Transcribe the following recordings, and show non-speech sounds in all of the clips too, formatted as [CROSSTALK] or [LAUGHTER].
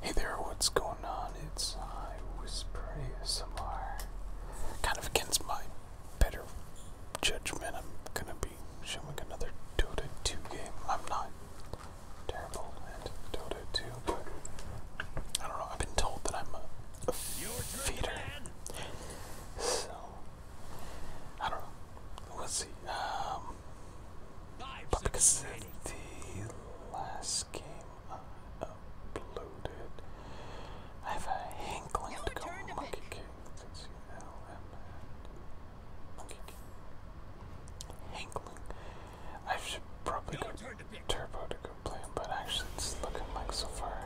Hey there, what's going on? It's I Whisper ASMR. Kind of against my better judgment, I'm gonna be showing another Dota 2 game. I'm not terrible at Dota 2, but I don't know, I've been told that I'm a, feeder. So, I don't know. Let's see. Um, but because of the last game I uploaded, I have a hankling to go monkey kick. That's Monkey kick. Hankling. I should probably go turbo to go play but actually it's looking like so far.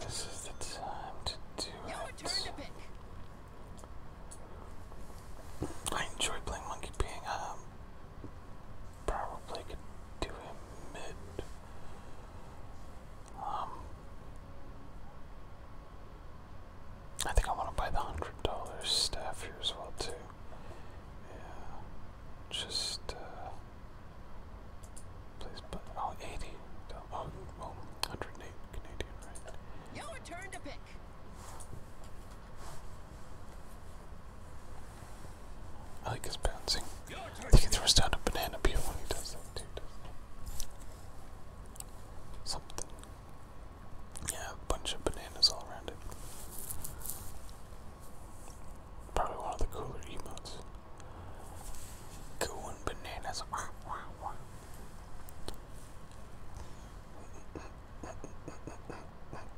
This is the time to do it. I enjoy playing Monkey Ping. Um, probably could do him mid. Um, I think I want to buy the hundred dollar staff here as well too. Yeah, just uh, please. But oh, eighty. Oh, oh well, hundred eight Canadian, right? I like his bouncing. think he throws down a banana peel when he does that too, Something. Yeah, a bunch of bananas all around it. Probably one of the cooler emotes. Going bananas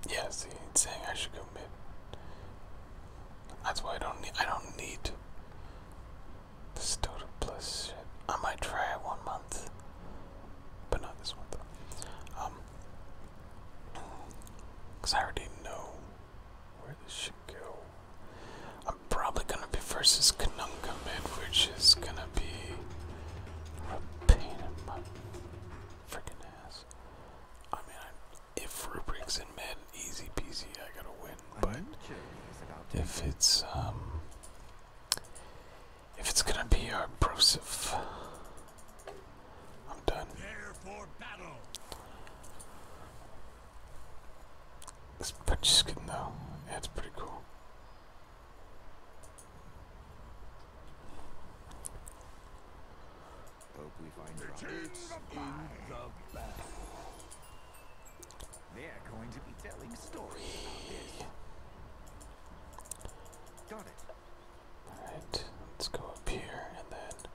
yeah, see, it's saying I should commit. That's why I don't need. I don't need this total plus shit. I might try it one month, but not this one though. Um, cause I already know where this should go. I'm probably gonna be versus Kanunga man, which is gonna gonna be a pain in my freaking ass. I mean, I, if Rubric's in mid, easy peasy, I gotta win. But if it's um, if it's gonna be our brosif, I'm done. This punch skin though, yeah, it's pretty cool. Hope we find tribes in the battle. They're going to be telling stories about this. Got it. Alright, let's go up here and then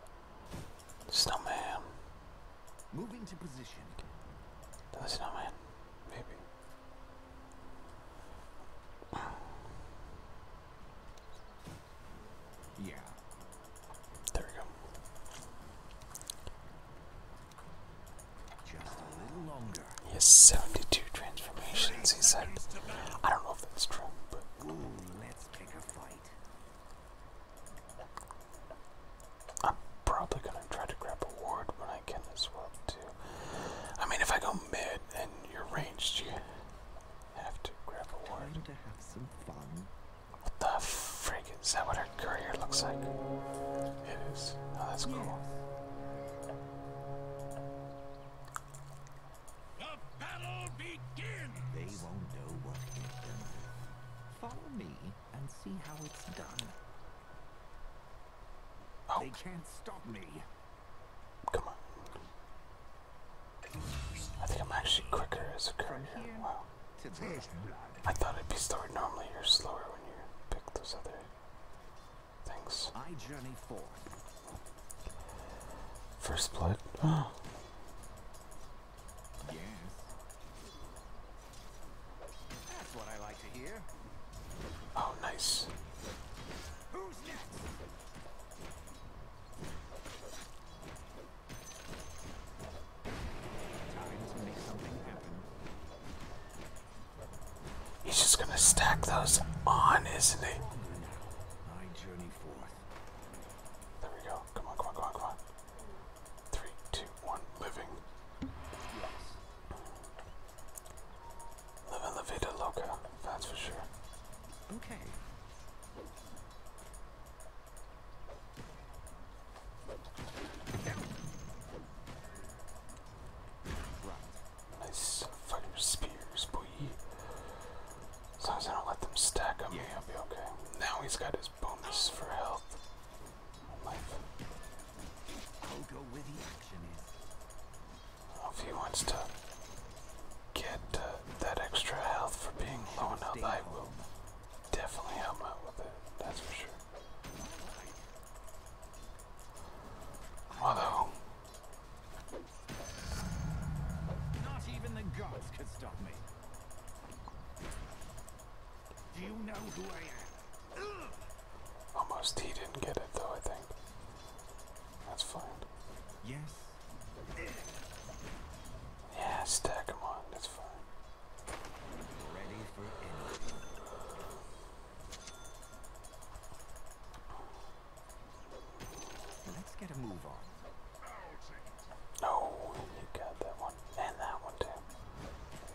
snowman. Moving to position. the snowman, maybe. Yeah. There we go. Just a little longer. He has 72 transformations, he said. I don't know if that's true, but. I'm probably gonna try to grab a ward when I can as well, I mean, if I go mid and you're ranged, you have to grab a ward. have some fun. What the frick? Is that what her courier looks like? It is. Oh, that's cool. The battle begins! They won't know what hit them. Follow me and see how it's done. Oh. They can't stop me. Come on. I think I'm actually quicker as a current Wow. I thought it'd be slower. Normally you're slower when you pick those other things. I journey forth. First blood. Oh. Yes. That's what I like to hear. Oh, nice. Who's next? He's just gonna stack those on, isn't he? There we go. Come on, come on, come on, come on. Three, two, one, living. Yes. Living la vida loca, that's for sure. Okay. Nice fire spears, boy. As long as I don't let them stack on me, I'll be okay. Now he's got his bonus for health. Life. I'll go where the action is if he wants to get uh, that extra health for being low on health, I will definitely help out with it. That's for sure. Although, not even the gods could stop me. Do you know who I am? Almost he didn't get it though, I think. That's fine. Yes. Yeah, stack him on, that's fine. Let's get a move on. Oh, you got that one. And that one too.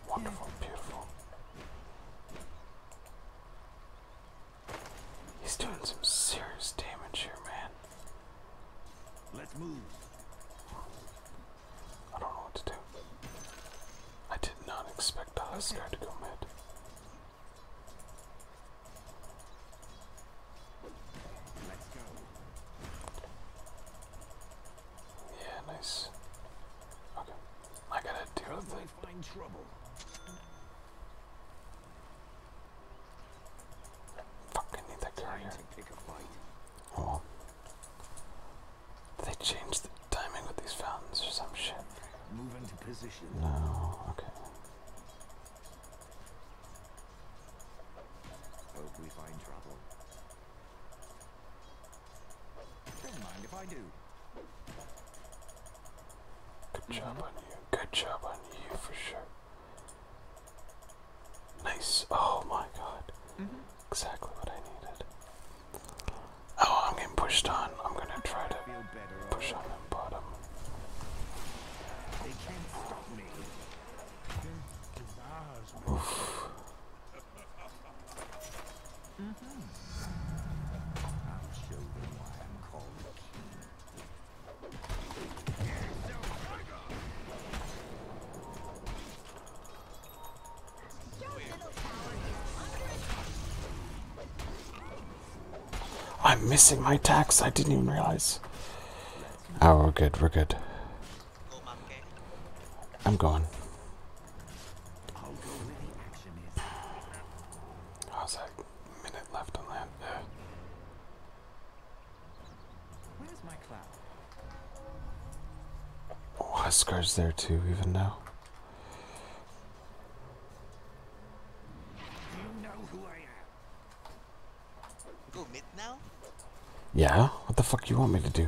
Wonderful, beautiful. He's doing some serious damage here, man. Let's move. I don't know what to do. I did not expect the to go mid. Yeah, nice. Okay. I gotta do a Find trouble. Fucking need that carrier. Oh. they change the timing with these fountains or some shit? No, okay. Don't mind if I do. Good job on you. Good job on you for sure. Nice. Oh my god. Mm-hmm. Exactly what I needed. Oh, I'm getting pushed on. I'm gonna try to push on the bottom. Oof. [LAUGHS] I'm missing my tax. I didn't even realize. Oh, we're good. We're good. I'm gone is? How's that minute left to land? Yeah. Where's my cloud? Oh, Huskar's there too, even now. You know who I am. Go mid now? Yeah? What the fuck you want me to do?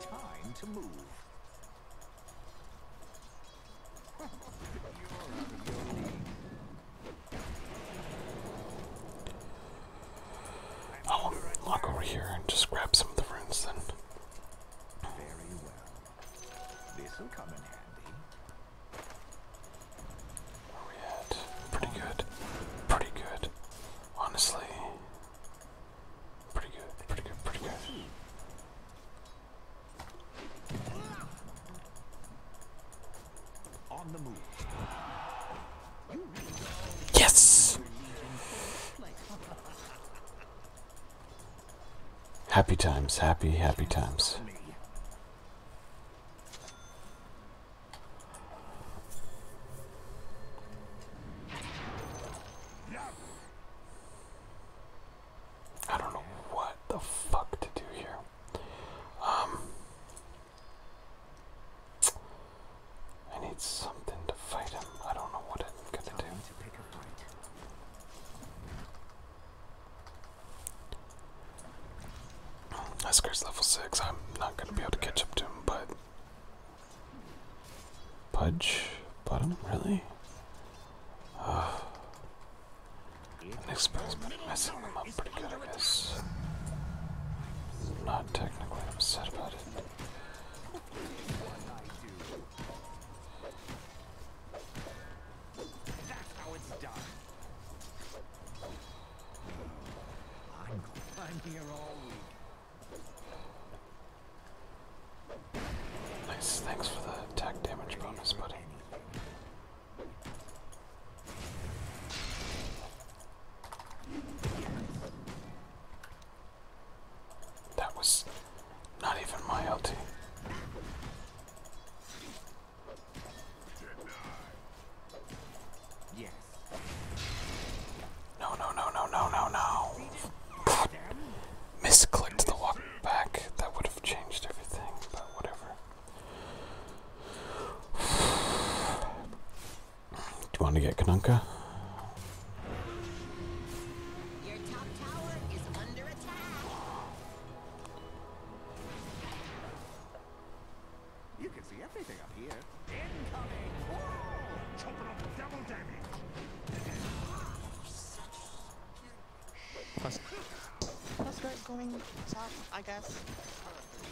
Time to move. I'll oh, lock over here and just grab some of the runes then. Very well. This'll come in handy. Oh, pretty good. Pretty good. Honestly, Pretty good, pretty good, pretty good. Yes! Happy times, happy, happy times. I don't know what the fuck to do here. Um, I need something to fight him. I don't know what I'm gonna do. To pick a fight. Hesker's level 6. I'm not going to be able to catch up to him, but Pudge bottom, really? Oh. The I'm messing them up pretty good, I guess. not technically upset about it. Nice, thanks for the attack damage bonus, buddy. That was not even my LT. Yes. No, no, no, no, no, no, no. Misclicked the walk back. That would have changed everything, but whatever. Do you want to get Kanunka? Your top tower is under attack. You can see everything up here. Incoming! Whoa! Chopping up double damage!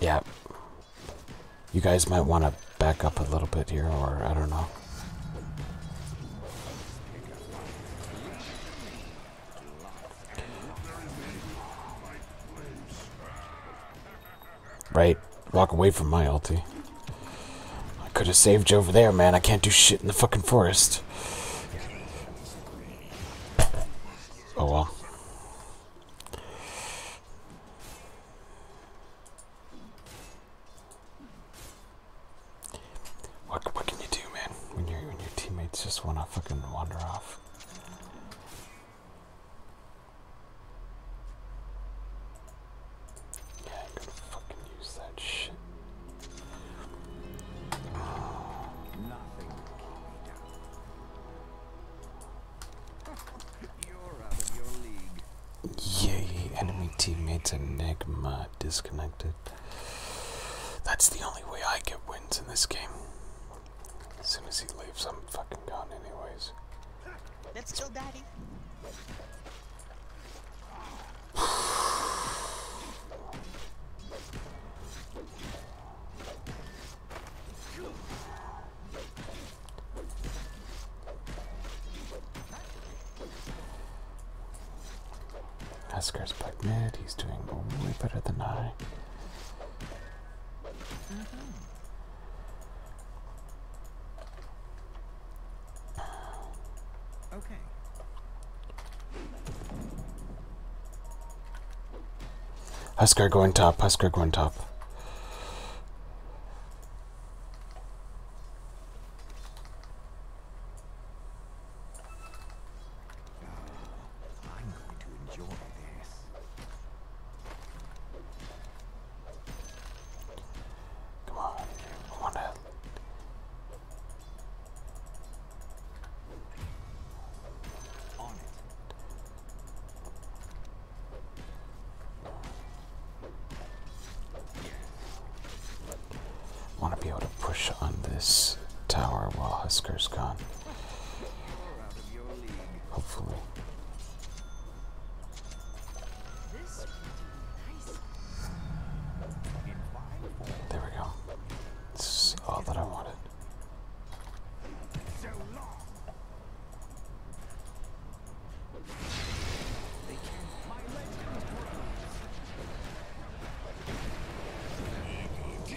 Yeah. You guys might want to back up a little bit here, or I don't know. Right. Walk away from my ulti. I could have saved you over there, man. I can't do shit in the fucking forest. Oh well. What, what can you do, man, when, you when your teammates just want to fucking wander off? Yeah, I could fucking use that shit. Nothing You're out of your league. Yay, enemy teammates Enigma disconnected. That's the only way I get wins in this game. As soon as he leaves, I'm fucking gone anyways. Let's go, daddy. Esker's played mid, he's doing way better than I. Mm-hmm. Uh, okay. Husker going top. Husker going top. Come on, I want to. On it. I want to be able to push on this tower while Husker's gone. Hopefully. There we go. This is all that I wanted.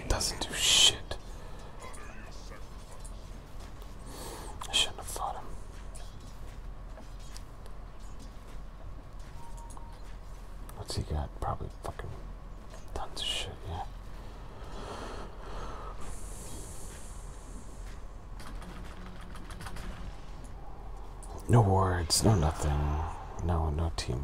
Doesn't do shit. I shouldn't have fought him. What's he got? Probably fucking tons of shit, yeah. No words, no nothing. No, no team.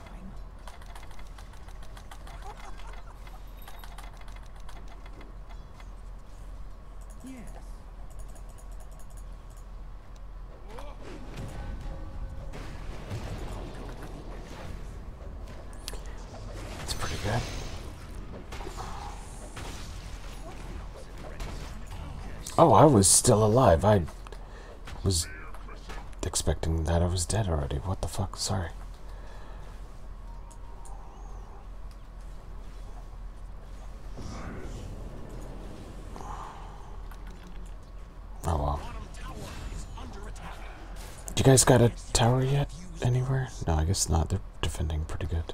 Yes. That's pretty good. Oh, I was still alive. I was expecting that I was dead already. What the fuck? Sorry. Oh well. You guys got a tower yet? Anywhere? No, I guess not. They're defending pretty good.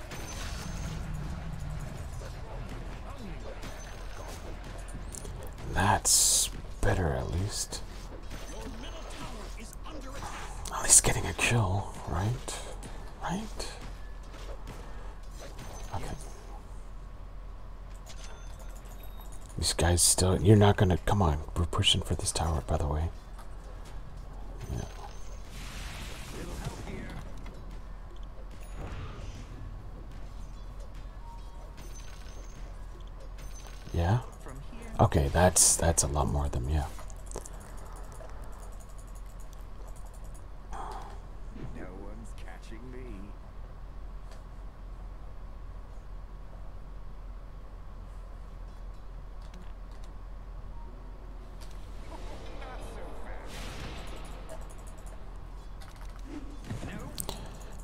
That's better at least. At least getting a kill, right? Right? Okay. These guys still. You're not gonna. Come on. We're pushing for this tower, by the way. Yeah. yeah. Okay, that's that's a lot more of them, yeah.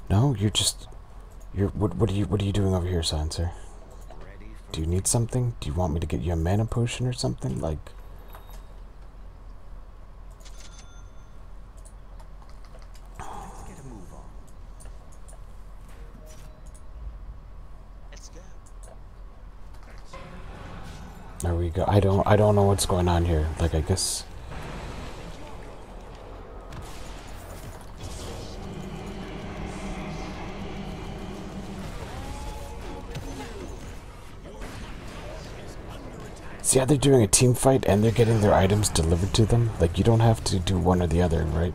No, you're just you're what what are you what are you doing over here, silencer? Do you need something? Do you want me to get you a mana potion or something? Like there we go. I don't I don't know what's going on here. Like I guess See how they're doing a team fight and they're getting their items delivered to them? Like you don't have to do one or the other, right?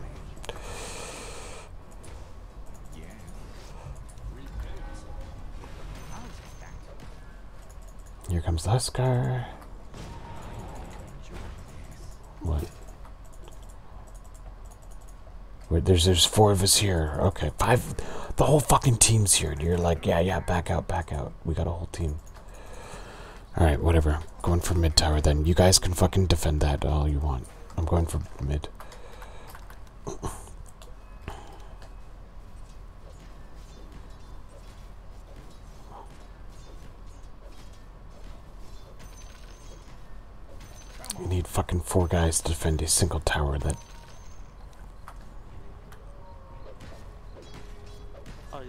Here comes Huskar. What? Wait, there's there's four of us here. Okay, five. The whole fucking team's here. And you're like, yeah, yeah, back out, back out. We got a whole team. All right, whatever. Going for mid tower then. You guys can fucking defend that all you want. I'm going for mid. We need fucking four guys to defend a single tower that. Oh,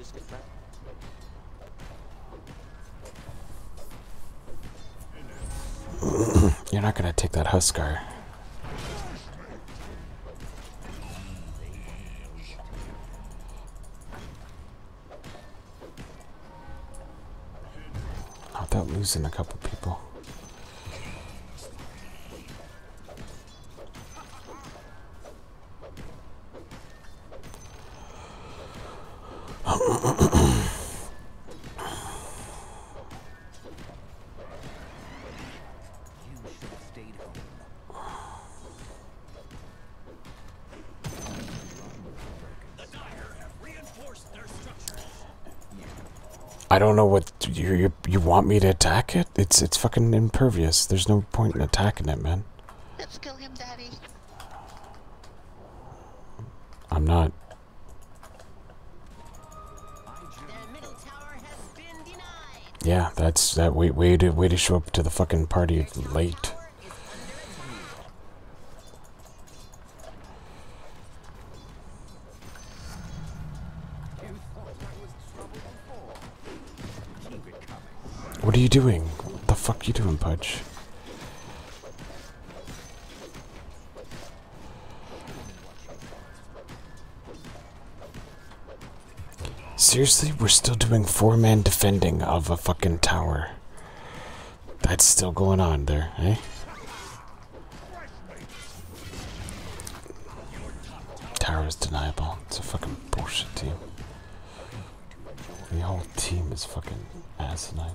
[CLEARS THROAT] You're not gonna take that Huskar. Without losing a couple people. I don't know what you you want me to attack it. It's it's fucking impervious. There's no point in attacking it, man. Let's kill him, Daddy. I'm not. Yeah, that's that way way to way to show up to the fucking party late. What are you doing? What the fuck you doing, Pudge? Seriously, we're still doing four man defending of a fucking tower. That's still going on there, eh? Tower is deniable. It's a fucking bullshit team. The whole team is fucking asinine.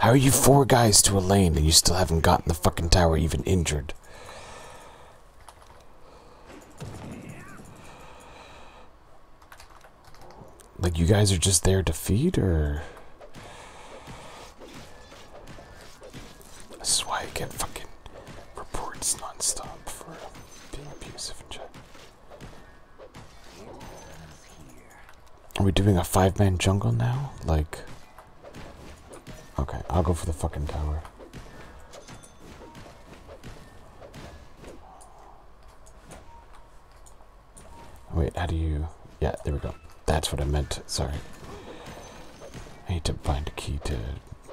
How are you four guys to a lane and you still haven't gotten the fucking tower even injured? Like, you guys are just there to feed, or...? This is why I get fucking reports nonstop for being abusive and shit. Are we doing a five-man jungle now? Like... Okay, I'll go for the fucking tower. Wait, how do you... Yeah, there we go. That's what I meant. Sorry. I need to find a key to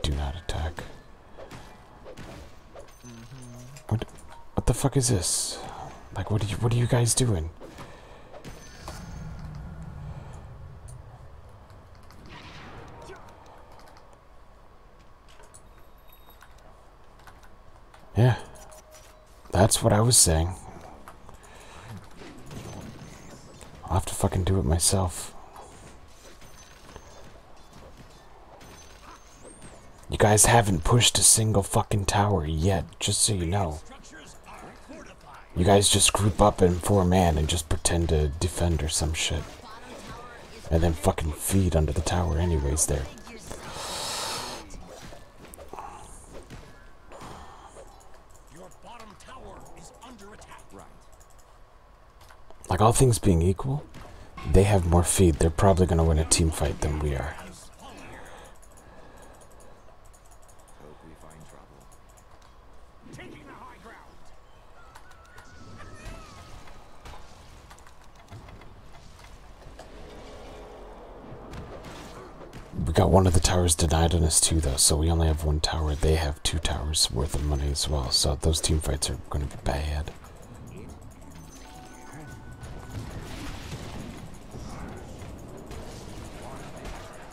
do not attack. Mm-hmm. What, what the fuck is this? Like, what are you, what are you guys doing? Yeah. That's what I was saying. I'll have to fucking do it myself. You guys haven't pushed a single fucking tower yet, just so you know. You guys just group up in four man and just pretend to defend or some shit. And then fucking feed under the tower anyways there. Like all things being equal, they have more feed. They're probably gonna win a team fight than we are. Hope we find trouble. Taking the high ground. We got one of the towers denied on us too though, so we only have one tower. They have two towers worth of money as well, so those team fights are gonna be bad.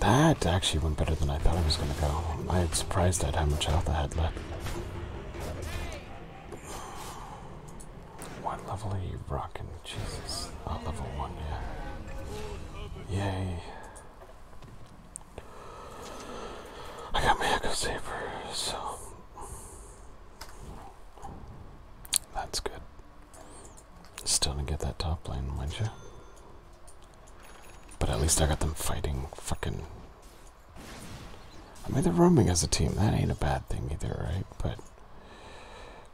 That actually went better than I thought it was going to go. i was surprised at how much health I had left. What level are you rocking? Jesus. Not oh, level one, yeah. Yay. I got my Echo Saber, so. That's good. Still gonna get that top lane, won't you? But at least I got them fighting fucking. I mean, they're roaming as a team. That ain't a bad thing either, right? But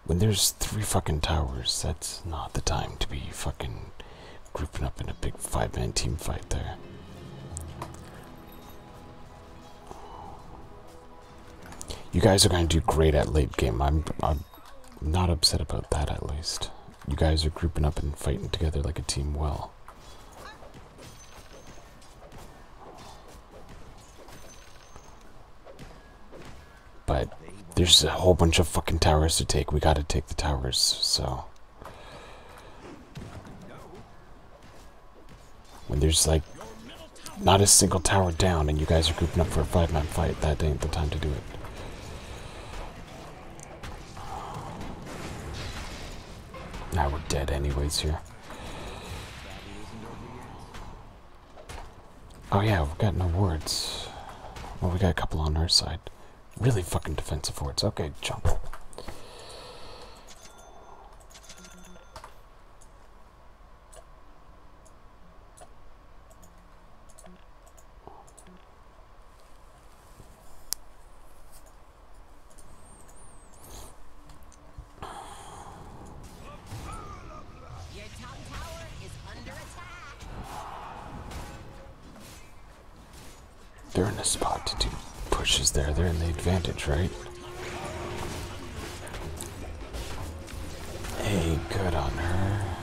when there's three fucking towers, that's not the time to be fucking grouping up in a big five man team fight there. You guys are going to do great at late game. I'm, i am um, not upset about that at least. You guys are grouping up and fighting together like a team well. But there's a whole bunch of fucking towers to take. We gotta take the towers, so. When there's like not a single tower down and you guys are grouping up for a five man fight, that ain't the time to do it. Now we're dead anyways here. Oh yeah, we've got no wards. Well, we got a couple on our side. Really fucking defensive wards. Okay, jump. They're in a spot to do pushes there. They're in the advantage, right? Hey, good on her.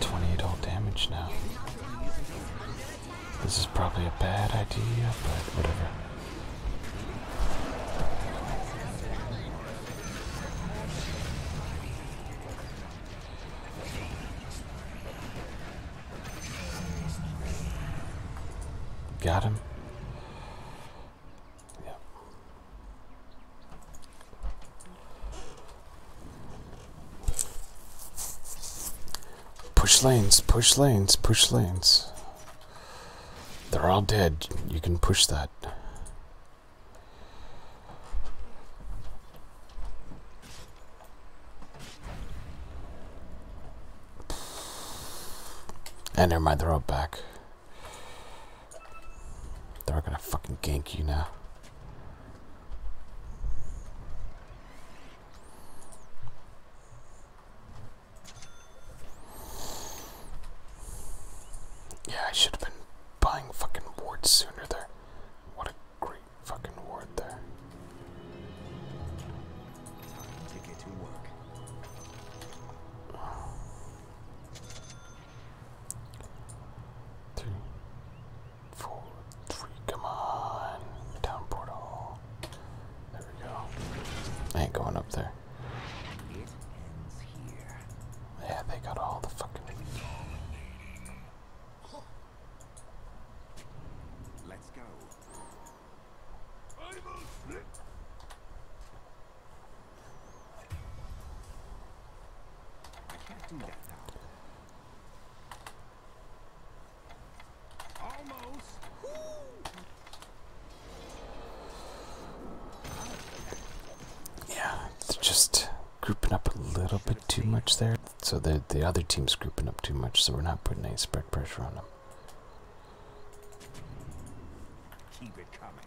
28 all damage now. This is probably a bad idea, but whatever. Got him. Push lanes, push lanes, push lanes. They're all dead. You can push that. And never mind, they're back. They're gonna fucking gank you now. Yeah, I should have been buying fucking wards sooner there. What a great fucking ward there. Three, four, three, come on. Down portal. There we go. I ain't going up there. Yeah, they got all the fucking. Let's go. Yeah, it's just grouping up a little bit too much there. So the the other team's grouping up too much, so we're not putting any spread pressure on them. Keep it coming.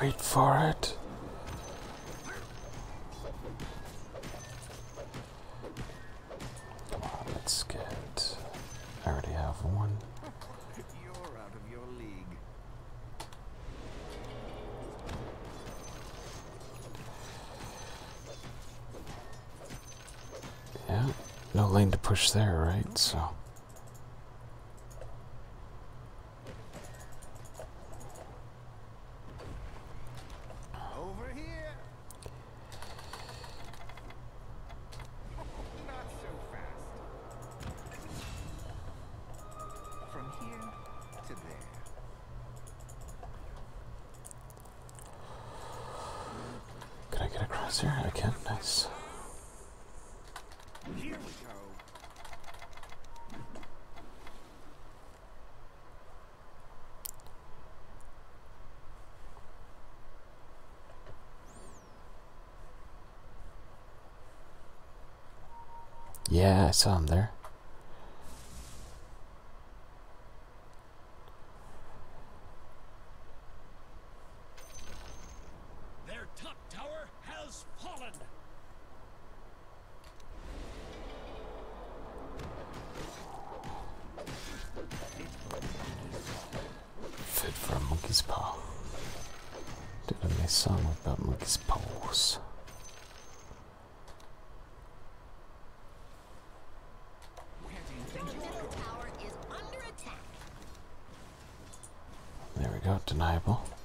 Wait for it. Come on, let's get. I already have one. Yeah, no lane to push there, right? So. Over here. [LAUGHS] Not so fast. From here to there. Can I get across here? I can. Nice. Here we go. Yeah, I saw him there. Their top tower has fallen. Fit for a monkey's paw. Did a nice song about monkey's paws? There we go, deniable.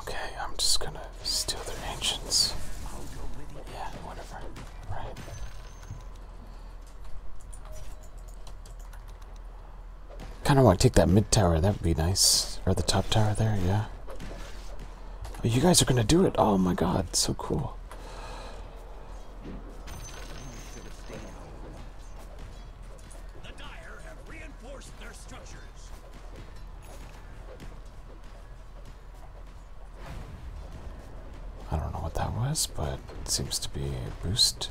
Okay, I'm just gonna steal their ancients. Yeah, whatever. Right. Kind of want to take that mid tower. That would be nice. Or the top tower there, yeah. Oh, you guys are going to do it. Oh my god, so cool. I don't know what that was, but it seems to be boost.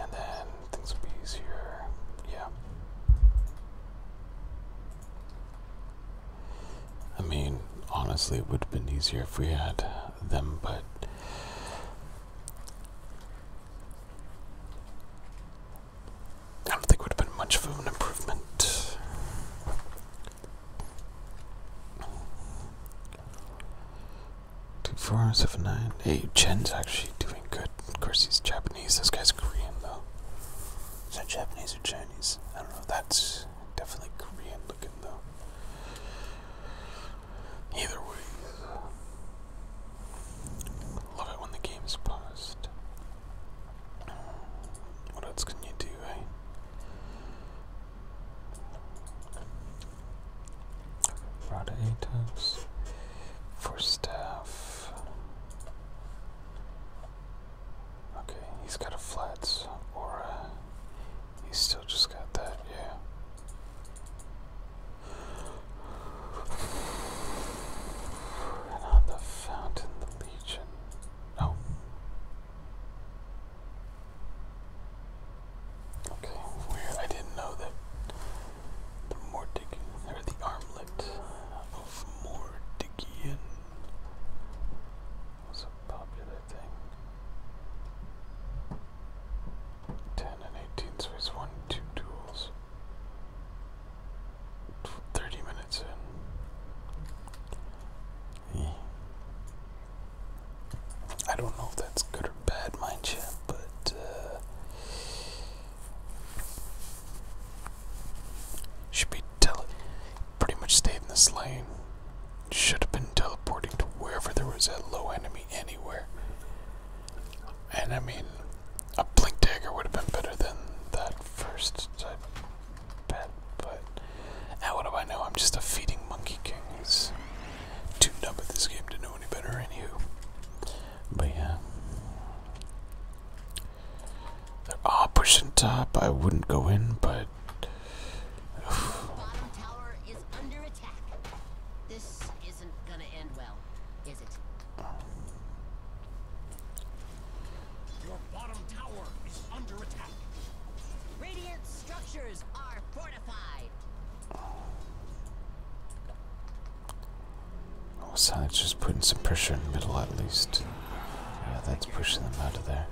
And then things will be easier. Yeah. I mean, honestly, it would have been easier if we had them, but. I don't think it would have been much of an improvement. Two, four, seven, nine, eight. Chen's actually doing good. Of course, he's Japanese. This guy's Korean, though. Is that Japanese or Chinese? I don't know. That's definitely Korean looking, though. Either way, love it when the game's is paused. What else can you do, eh? Rada Atops for staff. Okay, he's got a flats, or uh, he's still just got that, yeah. And on the fountain, the legion. Oh. Okay, weird. I didn't know that the or the armlet of Mordigian was a popular thing. 10 and 18, so it's one, two duels. 30 minutes in. I don't know if that's good or bad, mind you, but uh, should be pretty much stayed in this lane. Should have been teleporting to wherever there was a low enemy anywhere. And I mean, a blink dagger would have been better than that first, I bet. But now what do I know? I'm just a feeding monkey king. He's too numb at this game to know any better. Anywho, but yeah. they are all pushing top. I wouldn't go in, but. Your bottom tower is under attack. Radiant structures are fortified. Oh, sides just putting some pressure in the middle at least. Yeah, that's pushing them out of there.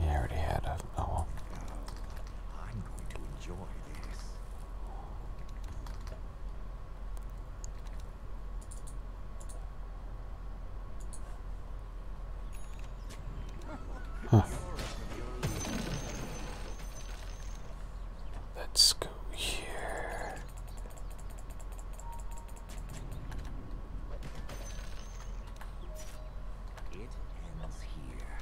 He already had a. Oh Let's go here. It ends here.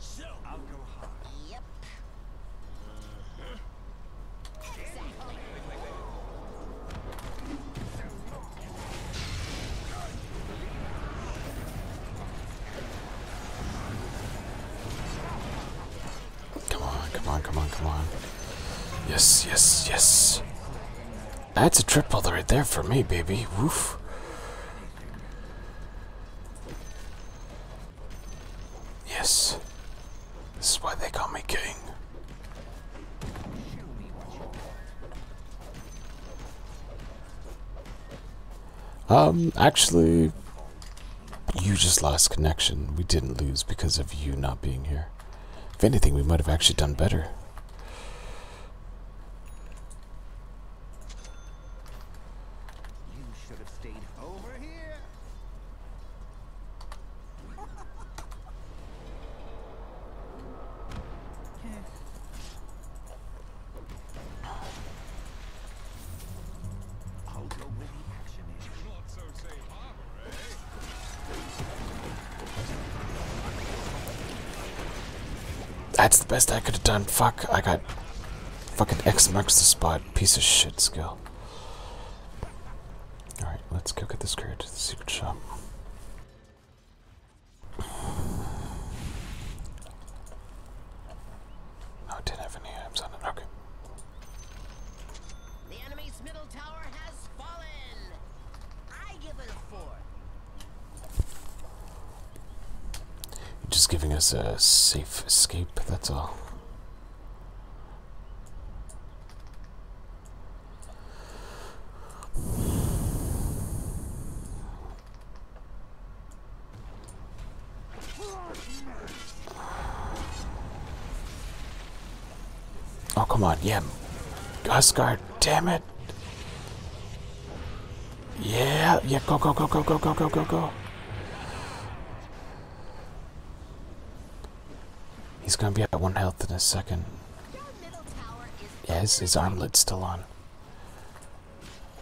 So I'll go high. Yep. Mm-hmm. Come on, come on, come on, come on. Yes, yes, yes. That's a triple right there for me, baby. Woof. Yes. This is why they call me king. Um, actually, you just lost connection. We didn't lose because of you not being here. If anything, we might have actually done better. [LAUGHS] That's the best I could have done. Fuck, I got fucking X marks the spot. Piece of shit skill. Alright, let's go get this courier to the secret shop. No, it didn't have any items on it. Okay. The enemy's middle tower has fallen. I give it a four. Just giving us a safe escape, that's all. Oh, come on, yeah. Asgard, damn it. Yeah, yeah, go, go, go, go, go, go, go, go, go. He's gonna be at one health in a second. Yes, yeah, his, his armlet's still on.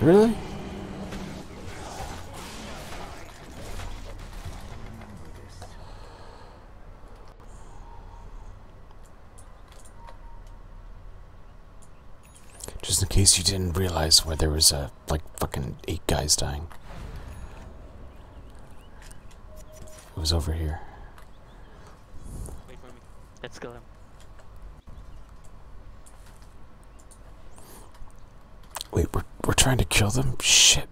Really? Just in case you didn't realize where there was, uh, like, fucking eight guys dying. It was over here. Let's go. Wait, we're, we're trying to kill them? Shit.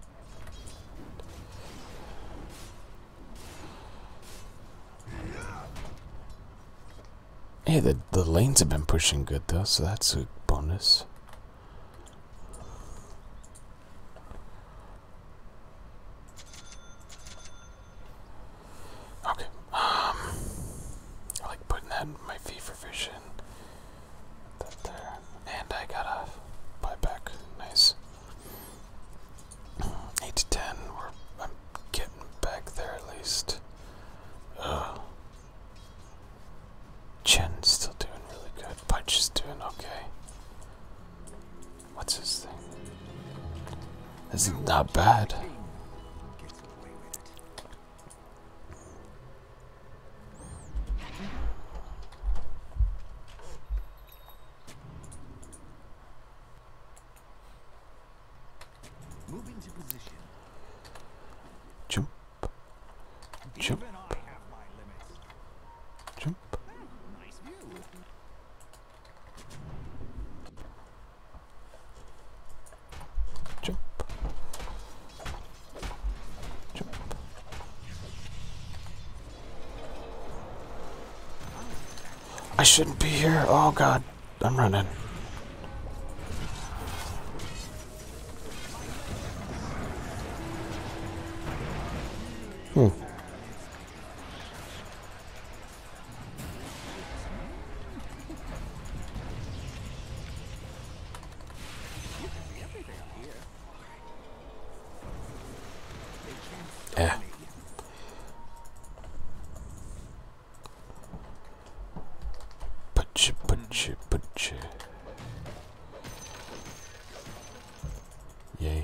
Hey, the, the lanes have been pushing good though, so that's a bonus. Okay. Um, I like putting that in my fee for vision. That there, and I got a buyback. Nice. Eight to ten. We're I'm getting back there at least. Ugh. Chen's still doing really good. Punch is doing okay. What's this thing? This is not bad. Moving to position. Jump. Jump. Jump. Nice view. Jump. Jump. I shouldn't be here. Oh god, I'm running. Hmm. Yeah. Butcher, butcher, butcher. Yay.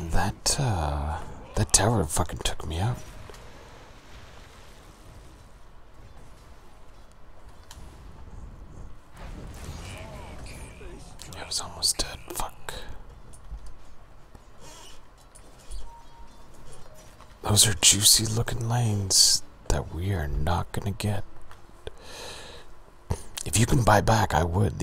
That, uh, that tower fucking took me out. I was almost dead, fuck. Those are juicy looking lanes that we are not gonna get. If you can buy back, I would.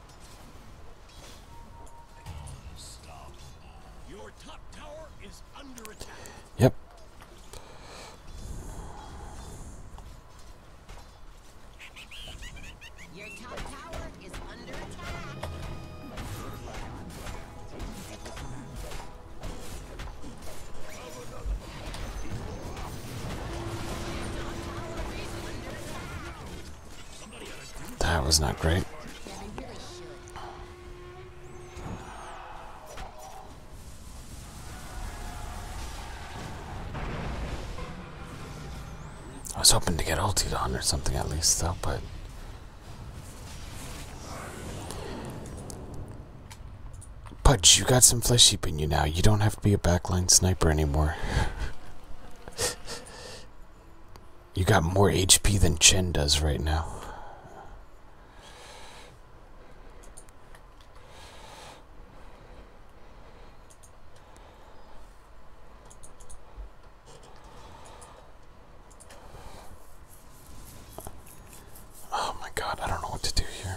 Your top tower is under attack. Yep. Your top tower is under attack. That was not great. I was hoping to get ulted on or something at least though, but... Pudge, you got some flesh sheep in you now. You don't have to be a backline sniper anymore. [LAUGHS] you got more HP than Chen does right now. Oh my god, I don't know what to do here.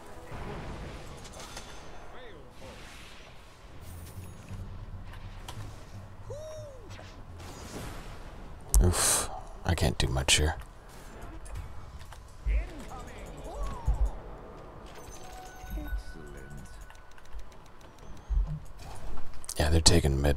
Oof. I can't do much here. Yeah, they're taking mid.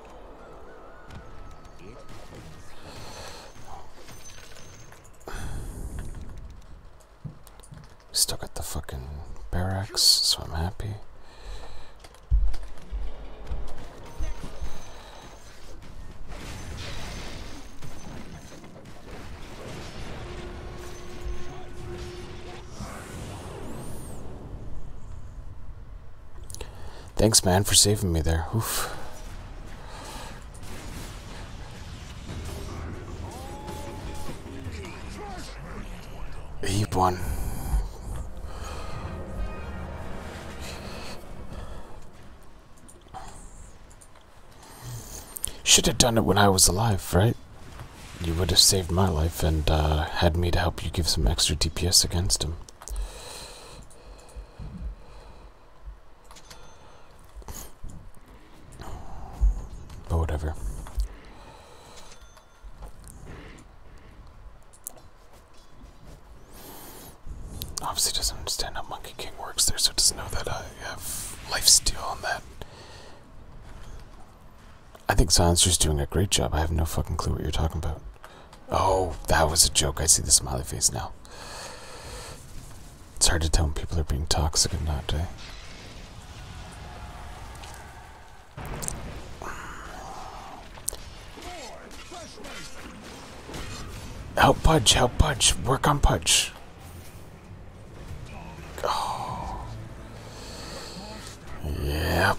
Still got the fucking barracks, so I'm happy. Thanks, man, for saving me there. Oof. He won. Should have done it when I was alive, right? You would have saved my life and uh, had me to help you give some extra DPS against him. But whatever. Obviously doesn't understand how Monkey King works there, so doesn't know that I have life steal on that. I think Silencer's doing a great job. I have no fucking clue what you're talking about. Oh, that was a joke. I see the smiley face now. It's hard to tell when people are being toxic or not, eh? Help Pudge, help Pudge, work on Pudge. Oh. Yep.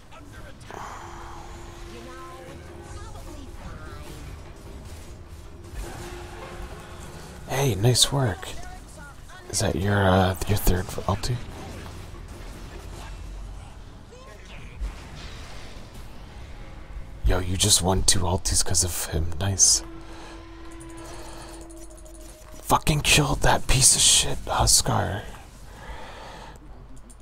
Hey, nice work. Is that your uh, your third ulti? Yo, you just won two ultis because of him. Nice. Fucking killed that piece of shit Huskar.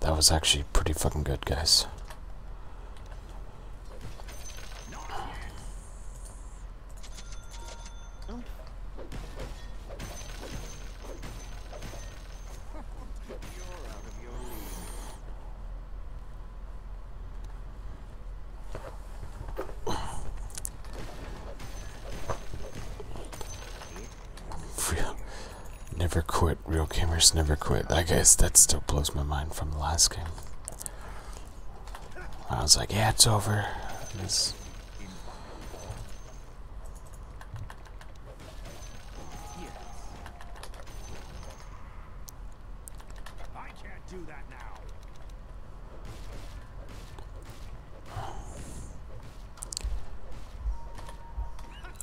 That was actually pretty fucking good, guys. [LAUGHS] Never quit. Real gamers never quit. I guess that still blows my mind from the last game. I was like, yeah, it's over. It's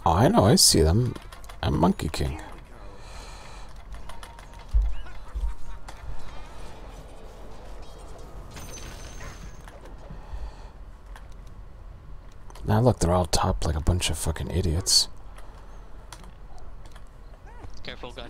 I know, I see them. I'm Monkey King. Now look, they're all topped like a bunch of fucking idiots. Careful, guys.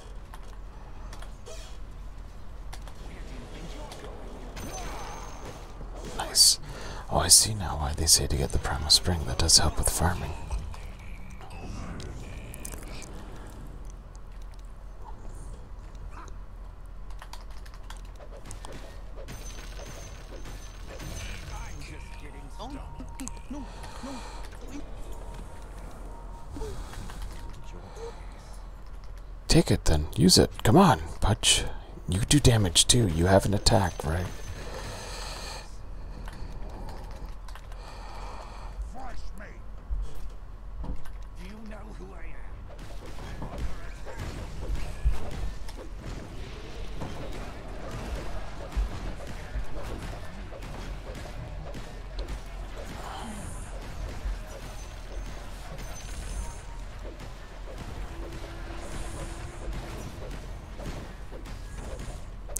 Nice. Oh, I see now why they say to get the primal spring. That does help with farming. Take it then. Use it. Come on, Pudge. You do damage too. You have an attack, right?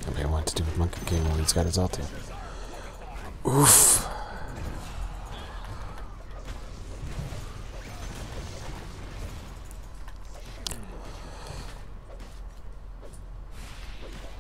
Nobody want to do with Monkey game when he's got his ulti. Oof.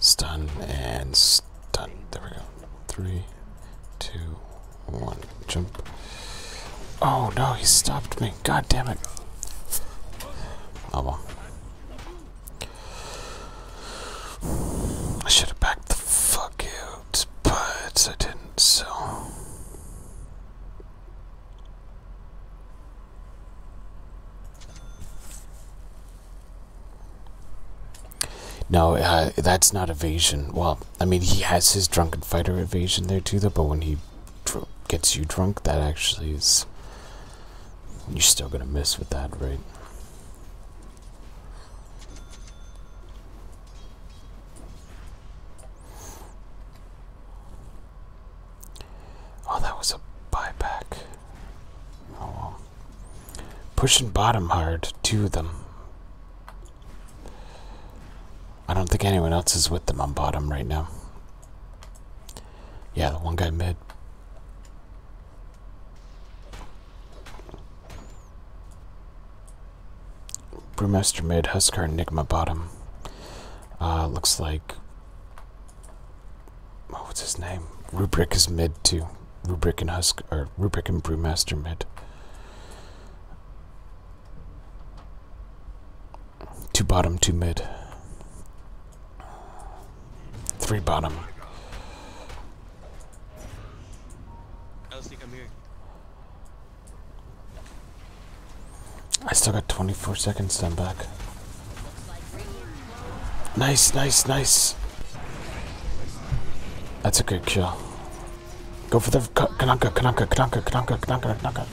Stun and stun. There we go. Three, two, one. Jump. Oh no, he stopped me. God damn it. Oh well. I should have backed the fuck out, but I didn't, so. No, uh, that's not evasion. Well, I mean, he has his drunken fighter evasion there too, though, but when he gets you drunk, that actually is. You're still gonna miss with that, right? Oh, that was a buyback. Oh Pushing bottom hard to them. I don't think anyone else is with them on bottom right now. Yeah, the one guy mid. Brewmaster mid, Huskar, Enigma bottom. Uh, looks like... Oh, what's his name? Rubric is mid too. Rubric and Husk, or Rubric and Brewmaster mid. Two bottom, two mid. Three bottom. I think I'm here. I still got 24 seconds then back. Nice, nice, nice. That's a good kill. Go for the Kananka, Kananka, Kananka, Kananka, Kananka, Kananka.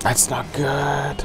That's not good.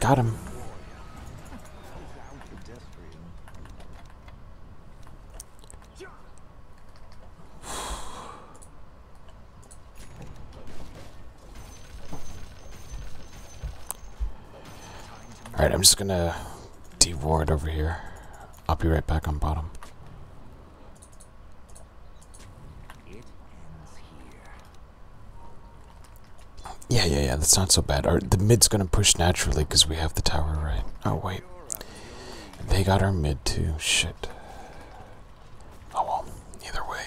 Got him. Alright, I'm just gonna de-ward over here. I'll be right back on bottom. Yeah, yeah, yeah, that's not so bad. the mid's gonna push naturally because we have the tower right. Oh, wait. They got our mid too. Shit. Oh well, either way.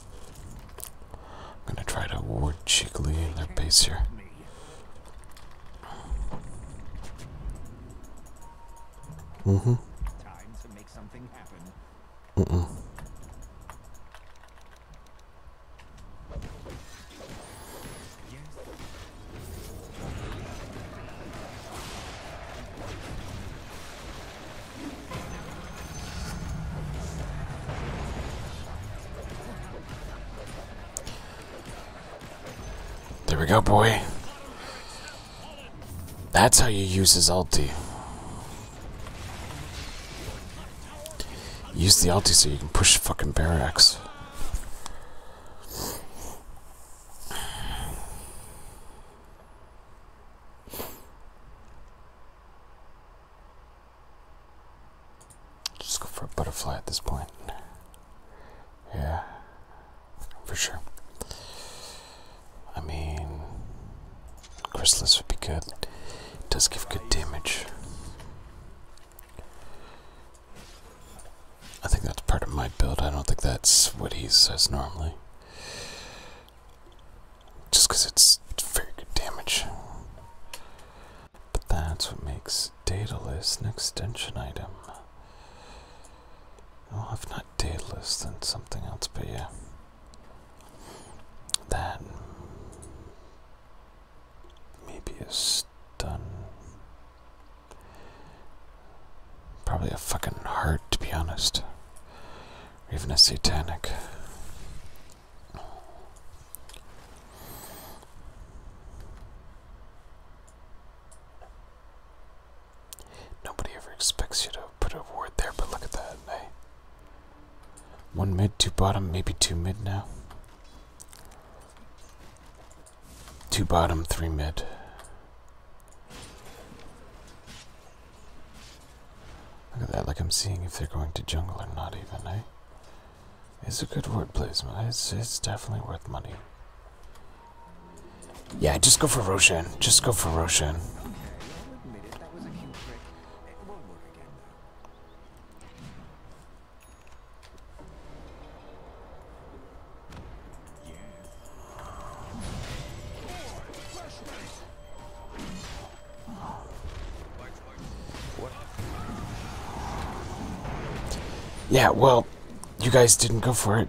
I'm gonna try to ward cheekily in their base here. Mm-hmm. Mm-mm. There we go, boy. That's how you use his ulti. Use the ulti so you can push fucking barracks. Just go for a butterfly at this point. Yeah, for sure. I mean, chrysalis would be good. It does give good damage. I think that's part of my build. I don't think that's what he says normally just because it's very good damage. But that's what makes Daedalus an extension item. Well, if not Daedalus, then something else, but yeah. That. Mm, maybe a stun. Probably a fucking heart, to be honest. Or even a satanic. Nobody ever expects you to put a ward there, but look at that. Hey? Eh? One mid, two bottom, maybe two mid now. Two bottom, three mid. Look at that, like I'm seeing if they're going to jungle or not even, eh? It's a good word placement. It's, it's definitely worth money. Yeah, just go for Roshan. Just go for Roshan. Yeah, well, you guys didn't go for it.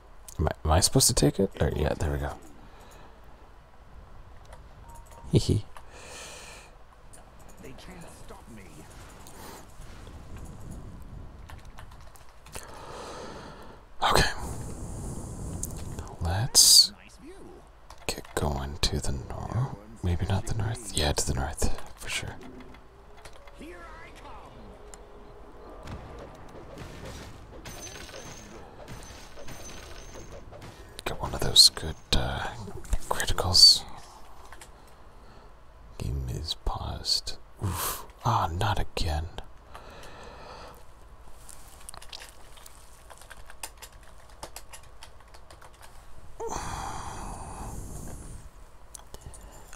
Am I, supposed to take it? Or, yeah, there we go. Hee hee. Okay. Let's get going to the north. Maybe not the north. Yeah, to the north, for sure. Get one of those good uh, criticals. Game is paused. Oof. Ah, not again.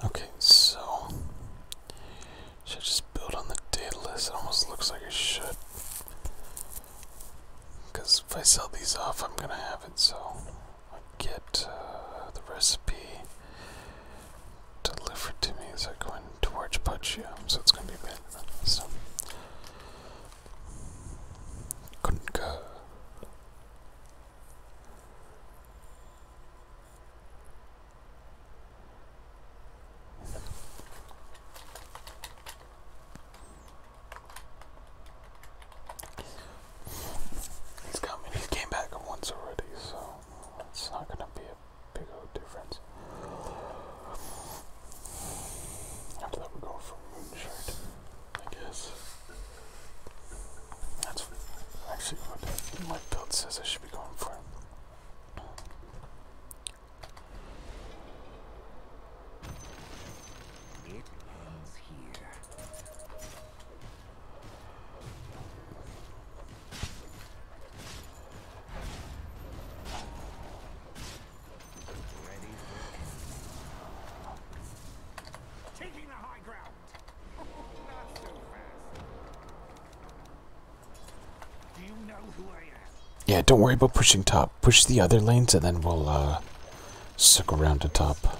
Okay, so should just build on the list. It almost looks like it should. Because if I sell these off, I'm gonna have it, so I get uh, the recipe delivered to me as I go in towards so it's gonna be bad. So. He's coming. and he's came back once already, so it's not gonna be a big old difference. After that, we go going for Moonshard, I guess. That's actually what my build says I should be going for. Taking the high ground. [LAUGHS] Not so fast. Yeah, don't worry about pushing top. Push the other lanes and then we'll uh, circle around the top.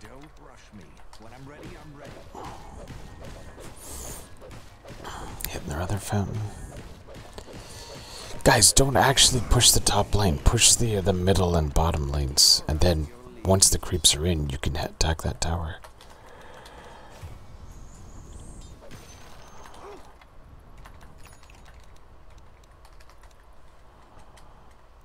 Don't rush me. When I'm ready, I'm ready. Hitting their other fountain. Guys, don't actually push the top lane. Push the uh, the middle and bottom lanes, and then once the creeps are in, you can attack that tower.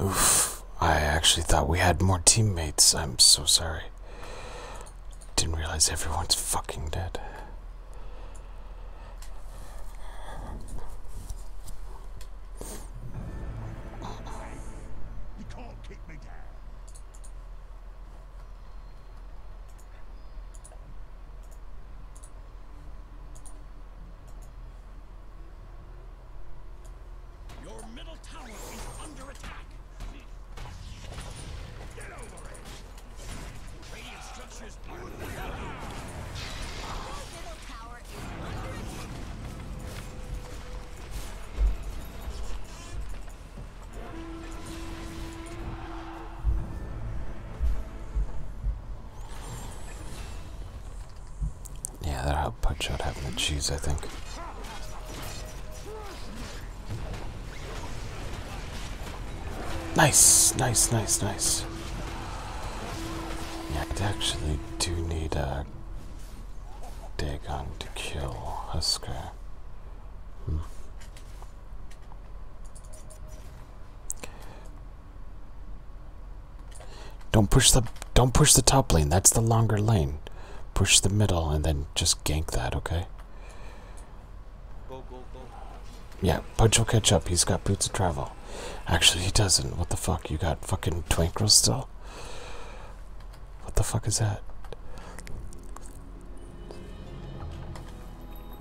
Oof. I actually thought we had more teammates. I'm so sorry. Didn't realize everyone's fucking dead. Your middle tower is under attack. Get over it. Radiant structures are under attack. Your middle tower is under attack. Yeah, that'll help out having the cheese, I think. Nice, nice, nice, nice. Yeah, I actually do need a Dagon to kill Husker. Hmm. Don't push the don't push the top lane. That's the longer lane. Push the middle and then just gank that, okay? Yeah, Pudge will catch up. He's got boots of travel. Actually, he doesn't. What the fuck? You got fucking Twinkle still? What the fuck is that?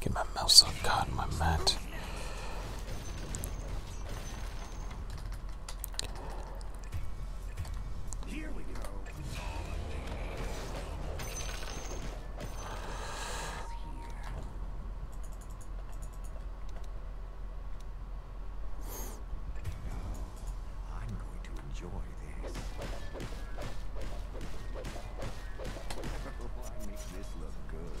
Get my mouse on God, my mat. Here we go. I'm going to enjoy this. [LAUGHS] this look good.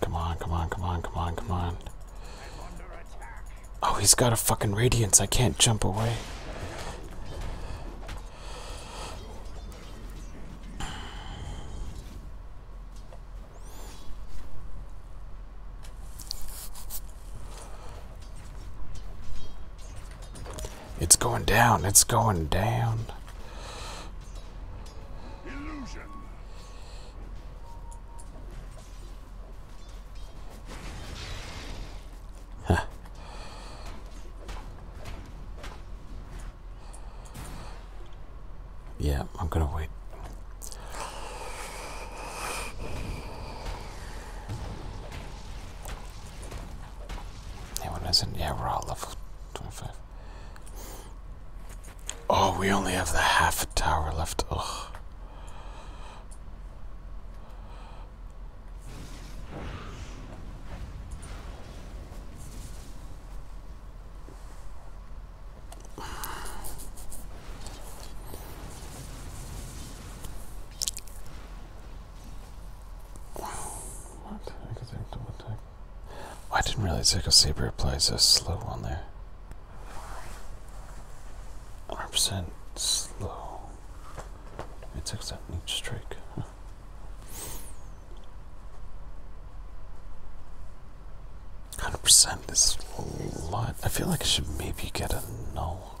Come on, come on, come on, come on, come on. Oh, he's got a fucking radiance. I can't jump away. It's going down. It's going down. Illusion. Yeah, I'm gonna wait. Anyone isn't? Yeah, we're all level 25. Oh, we only have the half a tower left. Ugh. What? I what I didn't really take a Saber applies so a slow one there. 100% slow. It takes that each strike. Huh. Hundred percent is a lot. I feel like I should maybe get a null.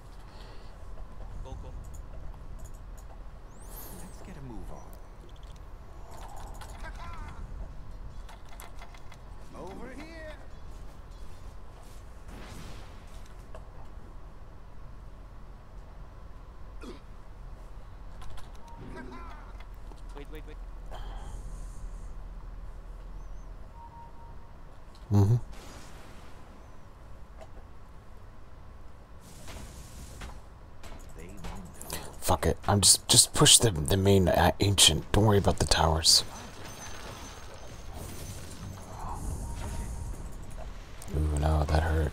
Let's get a move on. Over here. wait, wait, wait. Mm-hmm. Fuck it. I'm just just push the the main uh, ancient. Don't worry about the towers. Ooh, no, that hurt.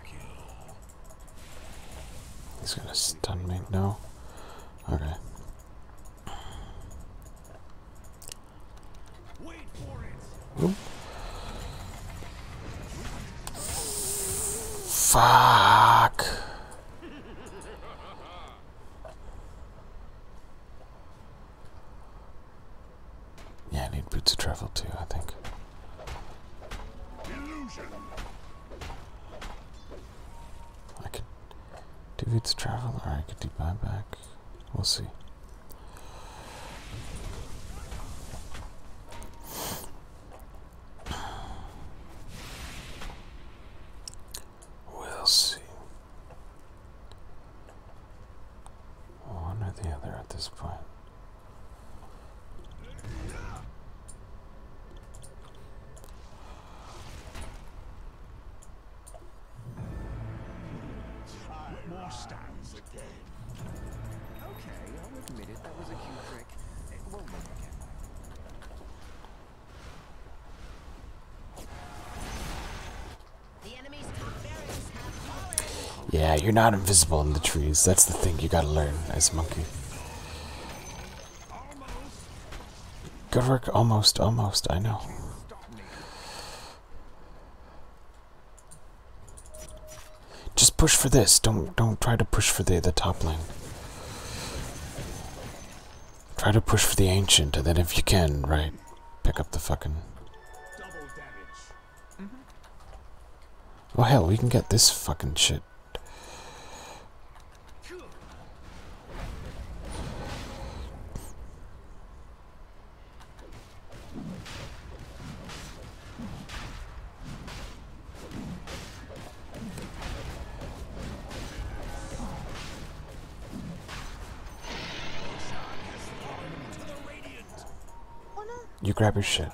He's gonna stun me. No. Okay. Fuck. Yeah, I need boots of travel too, I think. I could do boots of travel or I could do buyback. We'll see. We'll see. One or the other at this point. More stands again. Okay, I'll admit it. That was a cute trick. It won't work again. The enemy's top barrier. Yeah, you're not invisible in the trees. That's the thing you gotta learn as monkey. Good work. Almost, almost. I know. Just push for this. Don't don't try to push for the the top lane. Try to push for the ancient, and then if you can, right, pick up the fucking. Mm Well, hell, we can get this fucking shit. You grab your shit.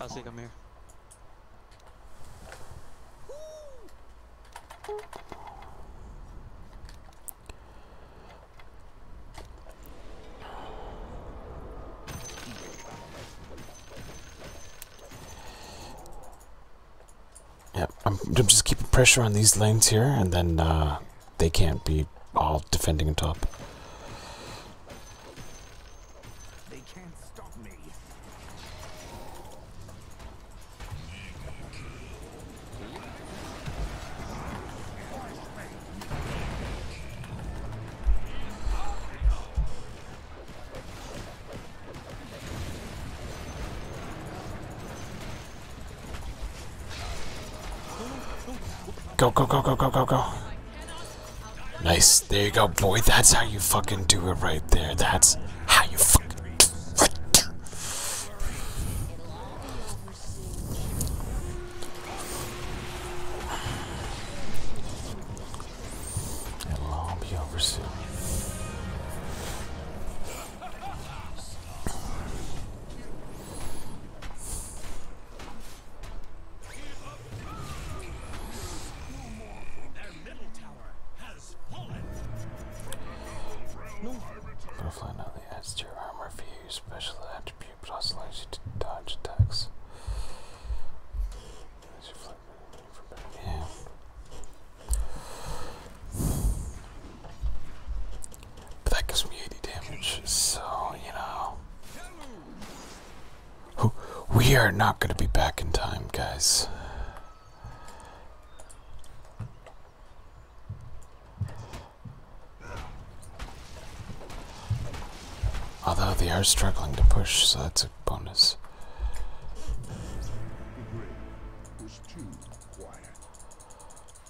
I think I'm here. Yeah, I'm, I'm just keeping pressure on these lanes here, and then uh, they can't be all defending top. Go, go, go, go, go, go, go. Nice. There you go, boy. That's how you fucking do it right there. That's how you fucking do it. Right there. It'll all be over soon. Roughly nothing adds to your armor if you special attribute, also allows you to dodge attacks. But that gives me 80 damage, so, you know. We are not going to be back in time, guys. Although they are struggling to push, so that's a bonus.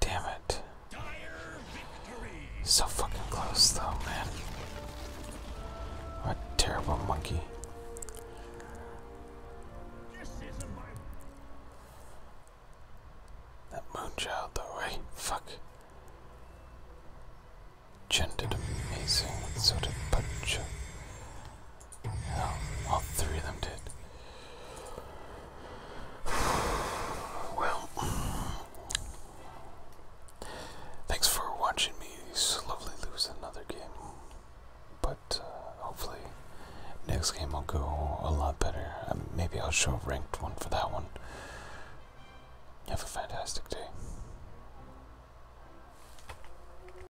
Damn it. So fucking close, though, man. What a terrible monkey. That moonchild, though, right? Fuck. Chen did amazing, so did Pacha. Yeah, all three of them did. [SIGHS] Well, [CLEARS THROAT] thanks for watching me slowly lose another game. But uh, hopefully, next game i will go a lot better. Uh, maybe I'll show a ranked one for that one. Have a fantastic day.